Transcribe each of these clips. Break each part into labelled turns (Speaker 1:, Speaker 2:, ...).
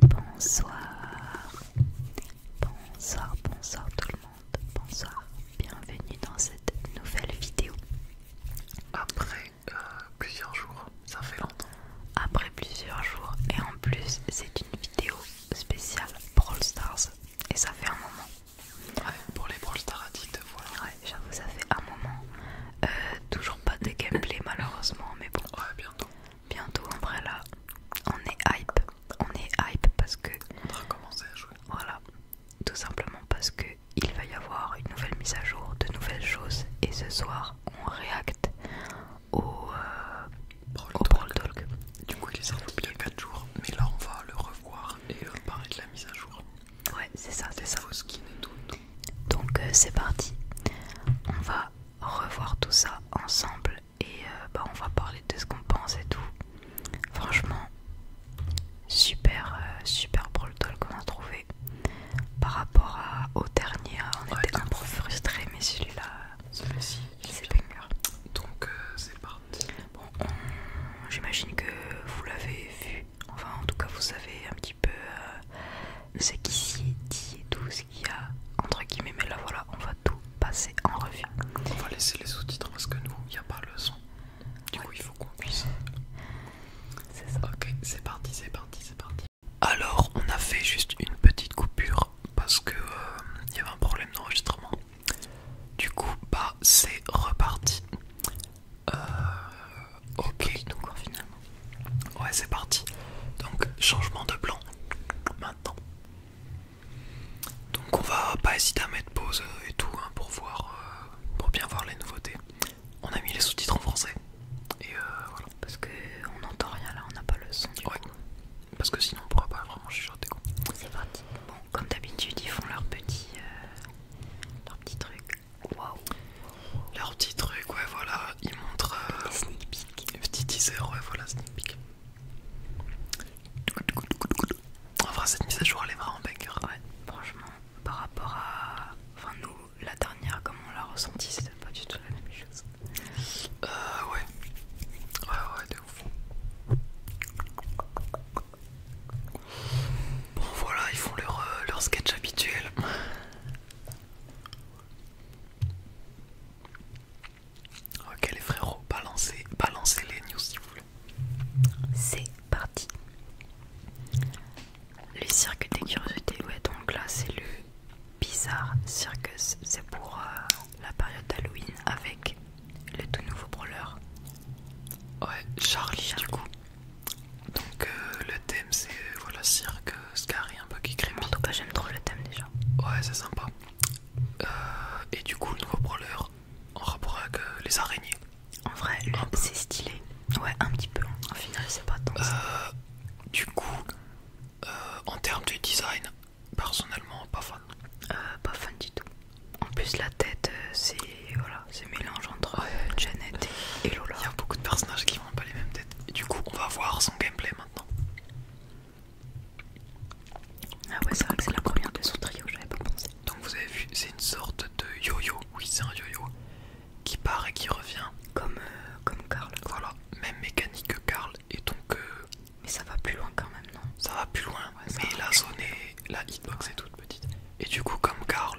Speaker 1: Bonsoir, bonsoir, bonsoir tout le monde, bonsoir, bienvenue dans cette nouvelle vidéo. Après euh, plusieurs jours, ça fait longtemps. Après plusieurs jours, et en plus, c'est une vidéo spéciale pour All Stars, et ça fait un moment. Ouais. Pour les Brawl Stars Addict, voilà. Ouais, j'avoue, ça fait un moment. Euh, toujours pas de gameplay, malheureusement, mais bon. Ouais, bientôt. Bientôt, en vrai, là, on est hype. On est hype parce que. On a commencer à jouer. Voilà. Tout simplement parce que il va y avoir une nouvelle mise à jour, de nouvelles choses, et ce soir, on réacte au. Euh, Brawl, Talk. Du coup, il est sorti depuis 4 jours, mais là, on va le revoir et euh, parler de la mise à jour. Ouais, c'est ça, c'est ça Donc euh, c'est parti. On va revoir tout ça ensemble et euh, bah, on va parler de ce qu'on pense et tout. Franchement, super, euh, super pro qu'on a trouvé. Par rapport à, au dernier, hein, on était un peu frustré mais celui-là, celui c'est banger. Donc c'est parti. Bon, j'imagine que vous l'avez vu Enfin, en tout cas, vous savez un petit peu euh, ce qui dit et tout ce qu'il y a entre guillemets. Mais là, voilà, on va tout passer en revue. On va laisser les sous-titres parce que nous, il n'y a pas le son. Du coup, il faut qu'on puisse. C'est ça. Ok, c'est parti, c'est parti, c'est parti. Alors, on a fait juste une petite coupure parce que euh, il y avait un problème d'enregistrement. Du coup, bah, c'est reparti. Euh, ok. donc finalement. Ouais, c'est parti. Donc, changement de plan maintenant. Donc, on va pas hésiter à mettre pause euh, et tout hein, pour voir, euh, pour bien voir les nouveautés. On a mis les sous-titres en français. Et voilà. Parce que on n'entend rien là, on n'a pas le son. ouais. Parce que sinon, on pourra pas vraiment chuchoter. C'est parti. Bon, comme d'habitude, ils font leur petit, leur petit truc. Wow. Leur petit truc, ouais, voilà, ils montrent. Euh, sneak peek. Petit teaser, ouais, voilà, sneak Enfin, cette mise à jour, elle est vraiment Ouais, franchement, par rapport à. Enfin, nous, la dernière, comme on l'a ressenti, c'était pas du tout la même chose. Euh, ouais. Ouais, ouais, de ouf. Bon voilà, ils font leur, euh, sketch habituel. Ok les frérots, balancez, balancez les news s'il vous plaît. C'est parti. Le cirque des curiosités, ouais donc là c'est le Bizarre Circus, c'est pour euh, la période d'Halloween avec le tout nouveau brawler. Ouais, Charlie, Charlie. du coup. Donc euh, le thème c'est euh, voilà cirque, euh, scary un peu qui crée. En tout cas j'aime trop le thème déjà. Ouais c'est sympa. et du coup le nouveau brawler en rapport avec les araignées. En vrai c'est stylé. Ouais un petit peu. en final c'est pas tant. du coup en termes de design personnellement pas fan. pas fan du tout. En plus, la tête, euh, c'est voilà, mélange entre euh, Janet et, Lola. Il y a beaucoup de personnages qui n'ont pas les mêmes têtes. du coup, on va voir son gameplay maintenant. Ah ouais, c'est vrai que c'est la première de son trio, j'avais pas pensé. Donc vous avez vu, c'est une sorte de yo-yo, oui c'est un yo-yo, qui part et qui revient. Comme, euh, comme Karl. Voilà, même mécanique que Karl, et donc... mais ça va plus loin quand même, non Ça va plus loin, mais la zone est... la hitbox est toute petite. Et du coup, comme Carl,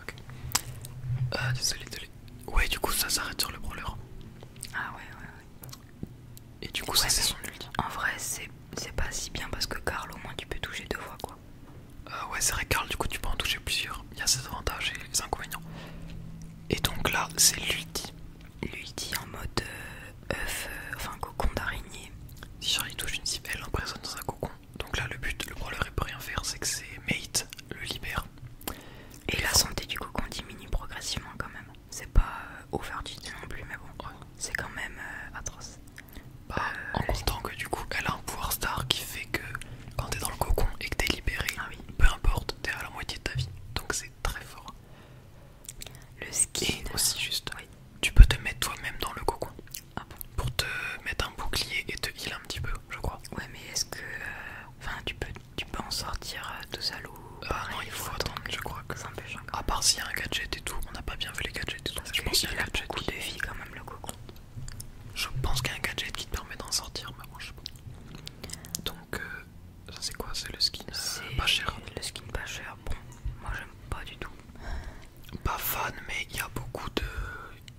Speaker 1: Ok. Euh, désolé, désolé. Ouais, du coup, ça s'arrête sur le brawler. Ah, ouais, ouais, ouais. Et du coup, ça c'est son ulti. En vrai, c'est pas si bien parce que Carl, au moins, tu peux toucher deux fois quoi. Euh, ouais, c'est vrai, Carl, du coup, tu peux en toucher plusieurs. Il y a ses avantages et ses inconvénients. Et donc là, c'est l'ulti. L'ulti en mode euh, œuf, enfin cocon d'araignée. Si Charlie touche une cible, elle l'emprisonne dans un cocon donc là, le but, le brawler est peut rien faire, c'est que ses mate le libère Et, la santé, du cocon diminue progressivement quand même. C'est pas euh, du tout non plus, mais bon, c'est quand même euh, atroce. Bah, euh, en comptant que du coup, elle a un pouvoir star qui fait que quand t'es dans le cocon et que t'es libéré, ah peu importe, t'es à la moitié de ta vie. Donc c'est très fort. Le skin. aussi, juste, tu peux te mettre toi-même dans le cocon. Ah Pour te mettre un bouclier et te heal un petit peu, je crois. Ouais, mais est-ce que. Euh, enfin, tu, peux, tu peux en sortir tout euh, seul ou. Euh, non, il faut, attendre, je crois que. ça À part s'il y a un gadget et tout, on n'a pas bien vu les gadgets et tout. je pense qu'il y a un gadget. qui défie quand même, le cocon. Je pense qu'il y a un gadget qui te permet d'en sortir, mais bon, je sais pas. Donc, ça c'est quoi C'est le skin pas cher. Le skin pas cher, bon, moi j'aime pas du tout. Pas fan, mais il y a beaucoup de.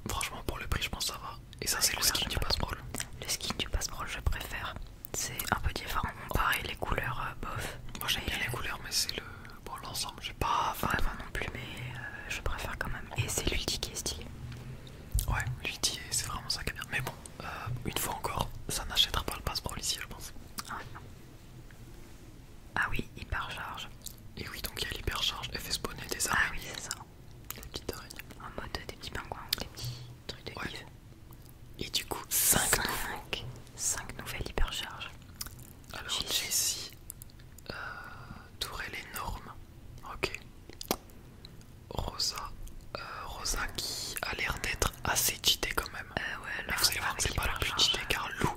Speaker 1: Franchement, pour le prix, je pense ça va. Et ça, c'est le skin du Passprol. Le skin du passeport je préfère. C'est un peu différent. Pareil, les couleurs euh, bof. Moi, j'aime les euh, couleurs, mais c'est le. Bon, l'ensemble, j'ai pas vraiment non plus, mais euh, je préfère quand même. Et c'est l'ulti qui est stylé. Ouais, l'ulti, c'est vraiment ça qui est bien. Mais bon, une fois encore, ça n'achètera pas le passeport ici, je pense. Ah, non. ah oui, hyper charge. Et oui, donc il y a l'hypercharge, elle fait spawner des araignées. Ah oui, c'est ça. Des petites araignées. En mode des petits pingouins des petits trucs de ouais. Et du coup, 5 nouvelles hypercharges. Alors, Jessie, euh, Tourelle énorme. Ok. Rosa, euh, Rosa qui a l'air d'être assez cheatée quand même. Euh, ouais, Mais vous allez voir que c'est pas la plus cheatée car euh, Lou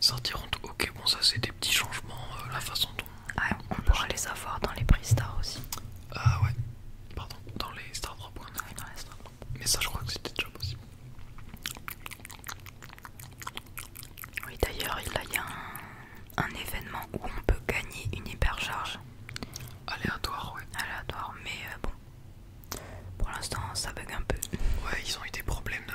Speaker 1: sortiront. Ok, bon, ça c'est des petits changements, euh, la façon dont. Ah, on, pourrait les avoir dans les prix stars aussi. Ah, ouais, pardon, dans les stars ah Drop. Mais ça, je crois que c'était déjà possible. Oui, d'ailleurs, il y a un, événement où on peut gagner une hypercharge. Aléatoire, Aléatoire, mais euh, bon. Pour l'instant, ça bug un peu. Ouais, ils ont eu des problèmes de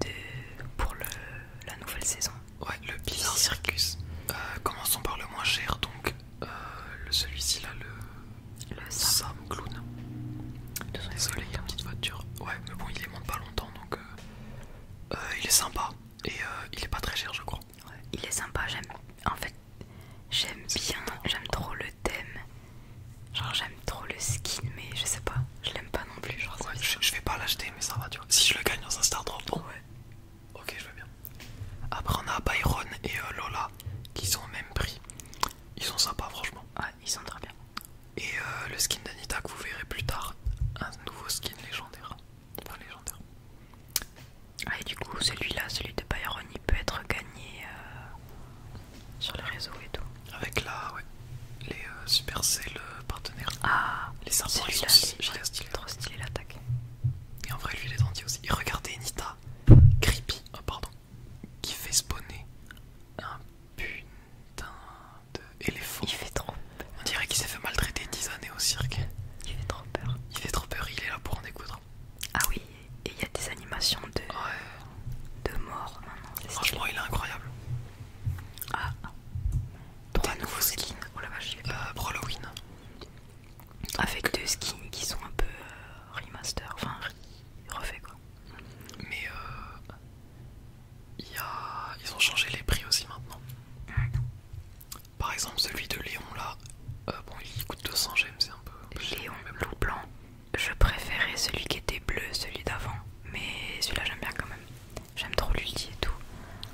Speaker 1: de, pour le, la nouvelle saison. Ouais, le Bizarre Circus. Euh, commençons par le moins cher, donc euh, celui-ci là, le, le Sam. Clown. Désolé, il y a une petite voiture. Ouais, mais bon, il est monte pas longtemps donc euh, il est sympa et il est pas très cher, je crois. il est sympa, j'aime en fait, j'aime bien, j'aime trop le thème. Genre, j'aime trop le skin, mais je sais pas, je l'aime pas non plus. je, vais pas l'acheter, mais ça va, tu Si je le gagne dans un Star Drop, Ouais. Ok, je veux bien. Après, on a Byron et euh, Lola qui sont au même prix. Ils sont sympas, franchement. ah ils sont très bien. Et euh, le skin d'Anita que vous verrez plus tard, un nouveau skin légendaire. Enfin, légendaire. Ah, et du coup, celui-là, celui de Byron, il peut être gagné. Euh, sur les réseaux et tout. Avec là, ouais, les euh, super Supercell euh, partenaires. Ah, les serpents, ils Trop stylé l'attaque. Et en vrai, lui, il est gentil aussi. Et regardez Nita, creepy, oh, pardon, qui fait spawner un putain d'éléphant. Il fait trop On dirait qu'il s'est fait maltraiter 10 années au cirque. Il fait trop peur. Il fait trop peur, il est là pour en découdre. Ah oui, et il y a des animations de, de mort Franchement, il est incroyable. Ah pour un nouveau skins. Oh la vache, pour euh, Avec deux skins qui sont un peu euh, remaster, enfin refait quoi. Mais euh, ils ont changé les prix aussi maintenant. Par exemple, celui de Léon là, bon il coûte 200 gemmes, c'est un peu. Léon, même blanc. Je préférais celui qui était bleu, celui d'avant mais celui-là j'aime bien quand même. J'aime trop l'ulti et tout.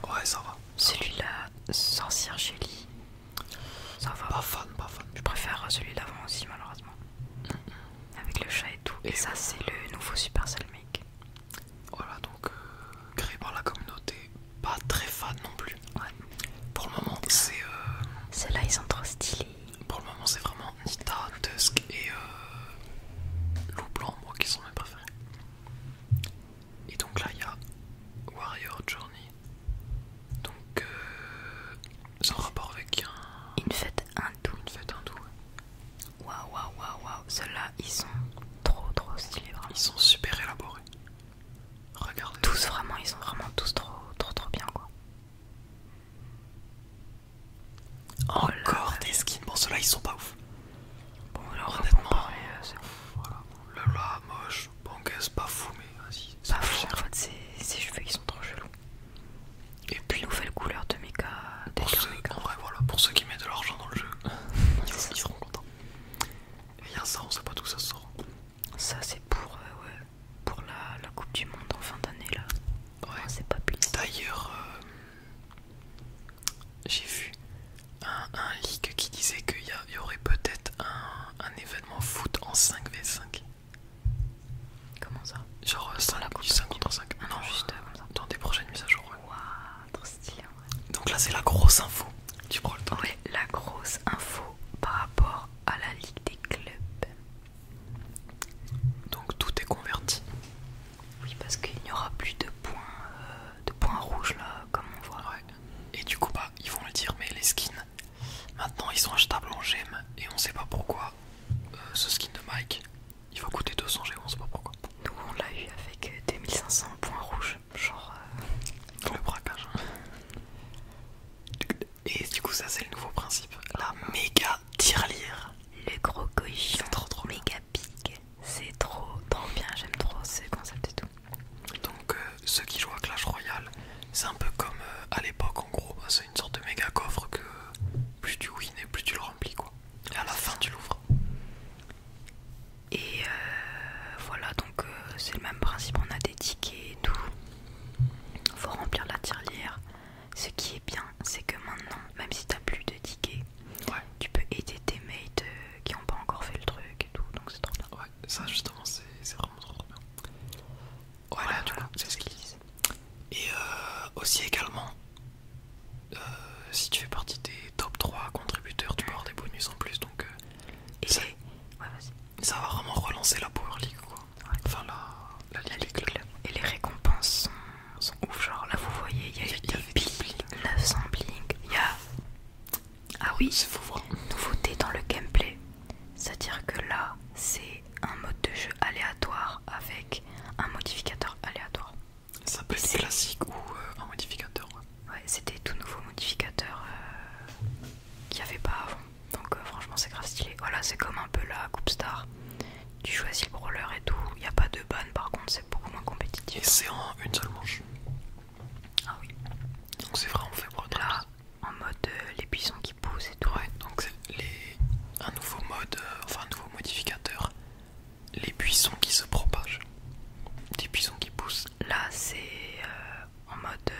Speaker 1: Ouais, ça va. Celui-là, sorcière Jelly. Ça va. Pas fan, pas fan. Je préfère celui d'avant aussi, malheureusement. Avec le chat et tout. Et, ça, c'est le nouveau Supercell Make. Voilà, donc euh, créé par la communauté. Pas très fan non plus. Ouais. Pour le moment, c'est. Euh... là ils sont trop stylés pour le moment c'est vraiment Nita, Tusk et euh, Loup Blanc moi qui sont mes préférés. Et donc là il y a Warrior Journey. Donc euh, rapport avec Une fête hindoue. Une fête Waouh waouh waouh waouh. Ceux-là ils sont trop trop stylés Ils sont super élaborés. Regardez. Tous vraiment, ils sont vraiment tous trop trop trop bien quoi. Oh Encore des skins. Bon, ceux-là ils sont pas ouf. Bon, alors honnêtement, euh, c'est Voilà. Le là, moche, qu'est-ce pas fou, mais vas-y. Pas fou, en fait, ces cheveux ils sont trop chelous. Et puis, nouvelle couleur de méga... Pour ceux, en vrai, voilà, pour ceux qui mettent de l'argent dans le jeu, ils, seront contents. Et il a ça, on sait pas d'où ça sort. Ça, c'est pour, euh, ouais, pour la, Coupe du Monde en fin d'année là. Ouais, oh, c'est pas plus. D'ailleurs, euh, j'ai vu un, leak qui disait qu'il y, aurait peut-être un, événement foot en 5v5. Comment ça Genre ça euh, la du 5 contre 5. Non, juste euh, comme ça. dans des prochaines mises à jour. trop stylé en vrai. Donc là, c'est la grosse info. Tu prends le temps. Ouais, la grosse info par rapport à la Ligue des clubs. Donc tout est converti. Oui, parce qu'il n'y aura plus de points, euh, de points rouges là, comme on voit. Et du coup, bah, ils vont le dire, mais les skins, maintenant ils sont achetables en gemmes et on sait pas pourquoi. Euh, ce skin de Mike, il va coûter 200 gemmes, on sait pas pourquoi. Nous on l'a eu avec 2500 euh, points rouges, genre. Le braquage. Hein. Et du coup, ça c'est le nouveau principe. La méga tirelire. Le gros cochon trop, méga big. C'est trop, trop bien. J'aime trop ce concept et tout. Donc, euh, ceux qui jouent à Clash Royale, c'est un peu comme euh, à l'époque en gros. Bah, c'est une sorte de méga coffre que plus tu win et plus tu le remplis quoi. Et à la fin, tu l'ouvres. Et euh, voilà, donc c'est le même principe. On a des tickets et tout. Faut remplir la tirelire. Ce qui est bien, c'est que maintenant, même si t'as plus de tickets, tu peux aider tes mates euh, qui n'ont pas encore fait le truc et tout, donc c'est trop bien. Ouais, ça justement, c'est vraiment trop, bien. Voilà, du coup, c'est ce qu'ils disent. Et euh, aussi également, euh, si tu fais partie des top 3 contributeurs, tu peux avoir des bonus en plus, donc... ça, va vraiment relancer la Power League, quoi. Enfin, la, la, League, Et les récompenses sont ouf. Genre là, vous voyez, il y a 900 Il y a. Ah oui, hein. nouveauté dans le gameplay. C'est-à-dire que là, c'est un mode de jeu aléatoire avec un modificateur aléatoire. Ça peut être classique ou euh, un modificateur. Ouais, c'était tout nouveau modificateur euh, qu'il n'y avait pas avant. Donc euh, franchement c'est grave stylé. Voilà c'est comme un peu la Coup star tu choisis le brawler et tout. Il n'y a pas de ban par contre, c'est beaucoup moins compétitif. Et c'est en une seule manche. Ah oui. Donc c'est vrai, on fait Là, en mode euh, les buissons qui poussent et tout. Ouais, donc les... un nouveau mode, euh, enfin un nouveau modificateur. Les buissons qui se propagent. Des buissons qui poussent. Là, c'est euh, en mode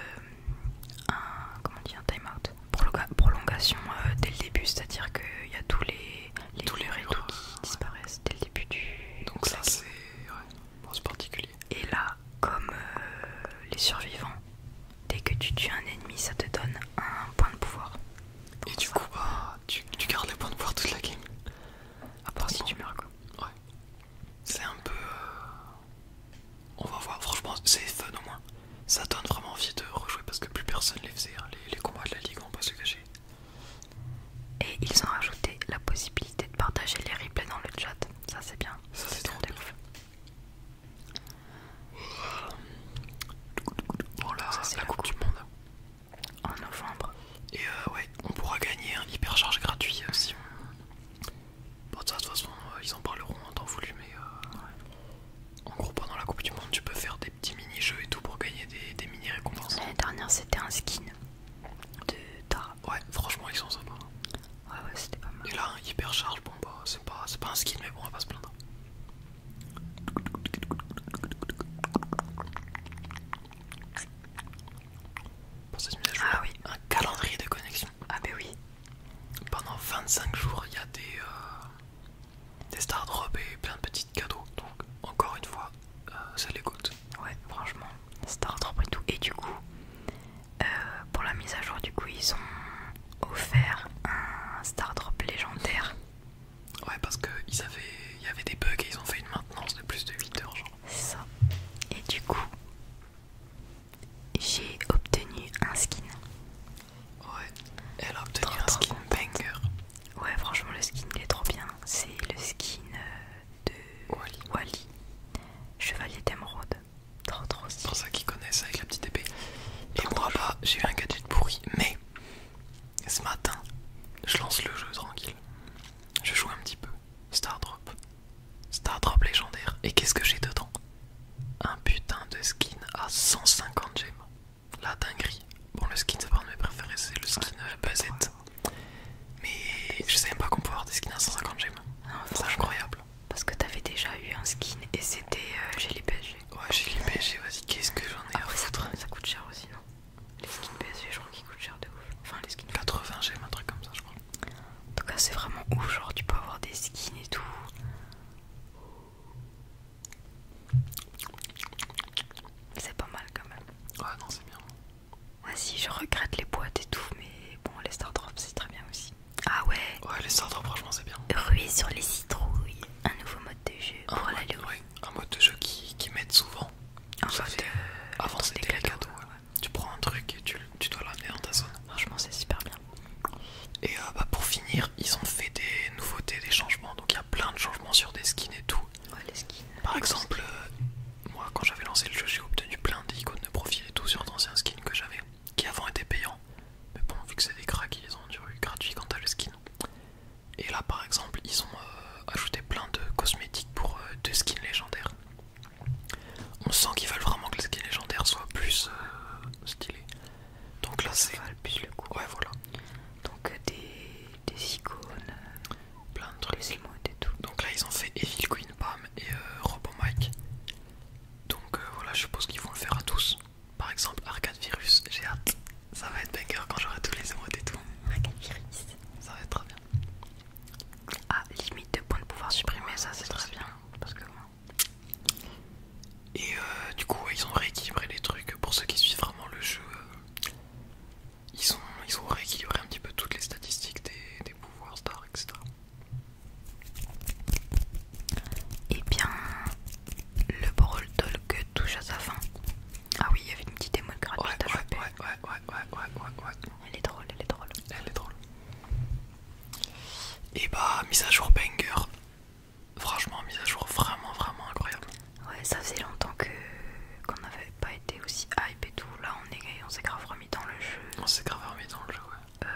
Speaker 1: un, comment on un time out prolongation euh, dès le début, c'est-à-dire qu'il y a tous les, tous les qui disparaissent dès le début du. Donc, ça, c'est. particulier. Et là, comme euh, les survivants, dès que tu tues un ennemi, ça te donne un point de pouvoir. Et du coup, bah, tu, gardes les points de pouvoir toute la game. À part si tu meurs, quoi. Ouais. C'est un peu. Euh, on va voir, franchement, c'est fun au moins ça donne vraiment envie de rejouer parce que plus personne ne les faisait, hein, les, combats de la ligue, on pas se cacher. Et ils ont rajouté la possibilité de partager les replays dans le chat, ça c'est bien. Ça c'est trop bien. Voilà, oh ça c'est la coupe du monde. En novembre. Et euh, ouais, on pourra gagner un hypercharge gratuit aussi. Euh, bon, de toute façon, euh, ils en parleront en hein, temps voulu, mais... En gros, pendant la Coupe du Monde, tu peux faire des petits mini-jeux et tout pour gagner des, mini-récompenses. L'année dernière, c'était un skin de Tara. Ouais, franchement, ils sont sympas. Ouais, ouais, c'était pas mal. Et là, un hypercharge, bon, bah, c'est pas, c'est pas un skin, mais bon, on va pas se plaindre. ah, oui. un calendrier de connexion. Ah, bah oui. Pendant 25 jours, il y a des. Euh, des Star et plein de petits cadeaux. Donc, encore une fois, euh, ça les coûte. Ouais, franchement, stardrop et tout. Et du coup, euh, pour la mise à jour, du coup, ils ont offert un star drop légendaire. Ouais, parce ils avaient, il y avait des bugs et ils ont fait une maintenance de plus de 8 heures, genre. C'est ça. Et du coup, j'ai obtenu un skin. Ouais, elle a obtenu un skin banger. Ouais, franchement, le skin est trop bien. C'est le skin euh, de Wally, Chevalier d'émeraude. Trop C'est pour ça qu'ils connaissent avec la petite épée. Et moi, j'ai eu un gadget pourri, mais ce matin, je lance le jeu tranquille. Je joue un petit peu. Star Drop. Star Drop légendaire. Et qu'est-ce que j'ai dedans Un putain de skin à 150 gemmes. La dinguerie. Bon, le skin, c'est pas de mes préférés, c'est le skin Buzzette. Mais je sais même pas qu'on peut avoir des skins à 150 gemmes. Ah, c'est incroyable. Parce que t'avais déjà eu un skin et c'était Jelly euh, les PSG. Ouais, j'ai les PSG, vas-y, qu'est-ce que j'en ai à ah foutre ça, coûte cher aussi, non Les skins PSG, je crois qu'ils coûtent cher de ouf. Enfin, les skins. 80 gemmes, un truc comme ça, je crois. En tout cas, c'est vraiment ouf. Genre, tu peux avoir des skins et tout. C'est pas mal quand même. Ouais, non, c'est bien. Ah si, je regrette les boîtes et tout, mais bon, les Stardrops c'est très bien aussi. Ah ouais Ouais, les Stardrops drops franchement c'est bien. Ruée sur les citrouilles, un nouveau mode de jeu pour la lune un mode de jeu qui, m'aide souvent. avant c'était les cadeaux. Tu prends un truc et tu, tu dois l'amener dans ta zone. Franchement, c'est super bien. Et euh, bah, pour finir, ils ont fait des nouveautés, des changements. Donc il y a plein de changements sur des skins et tout. Par exemple, euh, moi quand j'avais lancé le jeu, j'ai obtenu plein d'icônes de profil et tout sur d'anciens skins que j'avais, qui avant étaient payants. Mais bon, vu que c'est des cracks, ils ont duré gratuits quant à le skin. Et là, par exemple, ils ont euh, ajouté plein de cosmétiques pour des deux skins légendaires. On sent qu'ils veulent vraiment que les skins légendaires soient plus stylés. Donc là c'est le coup. Ouais voilà. Donc euh, des, icônes, euh, plein de trucs, et tout. Donc là ils ont fait Evil Queen Pam et euh, Robo Mike. Donc voilà, je suppose qu'ils vont le faire à tous. Par exemple Arcade Virus, j'ai hâte. Ça va être banger quand j'aurai tous les émotes et tout. Arcade Virus. Ça va être très bien. Ah, limite de points de pouvoir supprimer, ça c'est très bien. Parce que moi. Et euh, du coup, ils ont rééquilibré les trucs. Pour ceux qui suivent vraiment le jeu, euh, ils, ont, rééquilibré un petit peu toutes les statistiques des, pouvoirs stars, etc. Et eh bien, le Brawl Talk touche à sa fin. Ah oui, il y avait une petite émo gratuite à Ouais, ouais, ouais, ouais, ouais, ouais, ouais. Elle est drôle, elle est drôle. Elle est drôle. Et bah, mise à jour banger franchement mise à jour vraiment vraiment incroyable. Ouais, ça faisait longtemps que qu'on n'avait pas été aussi hype et tout. Là, on est, on s'est grave remis dans le jeu. On s'est grave remis dans le jeu, euh,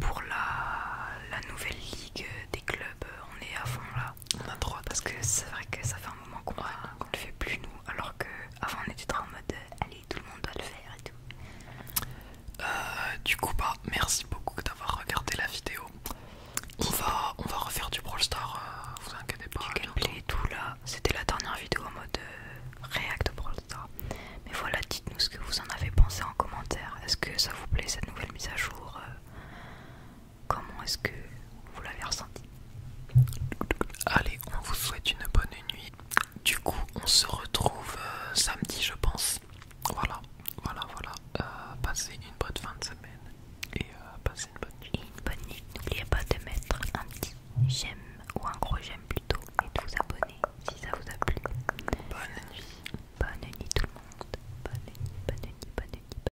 Speaker 1: pour la, la nouvelle ligue des clubs, on est à fond là. On a droit parce que c'est vrai que ça fait un moment qu'on ne le fait plus nous, alors que avant on était dans en mode euh, allez tout le monde doit le faire et tout. Euh, du coup, bah merci beaucoup d'avoir regardé la vidéo on va, on va refaire du Brawl Stars, euh, vous inquiétez pas. tout là, c'était la dernière vidéo en mode euh, React Brawl Stars. Mais voilà, dites-nous ce que vous en avez pensé en commentaire. Est-ce que ça vous plaît cette nouvelle mise à jour euh, Comment est-ce que vous l'avez ressenti Allez, on vous souhaite une bonne nuit. Du coup, on se retrouve samedi, je pense. Voilà, voilà, voilà. Euh, passez une bonne fin de semaine et euh, passez une bonne nuit. Et une bonne nuit. N'oubliez pas de mettre un petit j'aime ou un gros j'aime plutôt et de vous abonner si ça vous a plu. Bonne nuit. Bonne nuit tout le monde. bonne nuit, bonne nuit. Bonne nuit.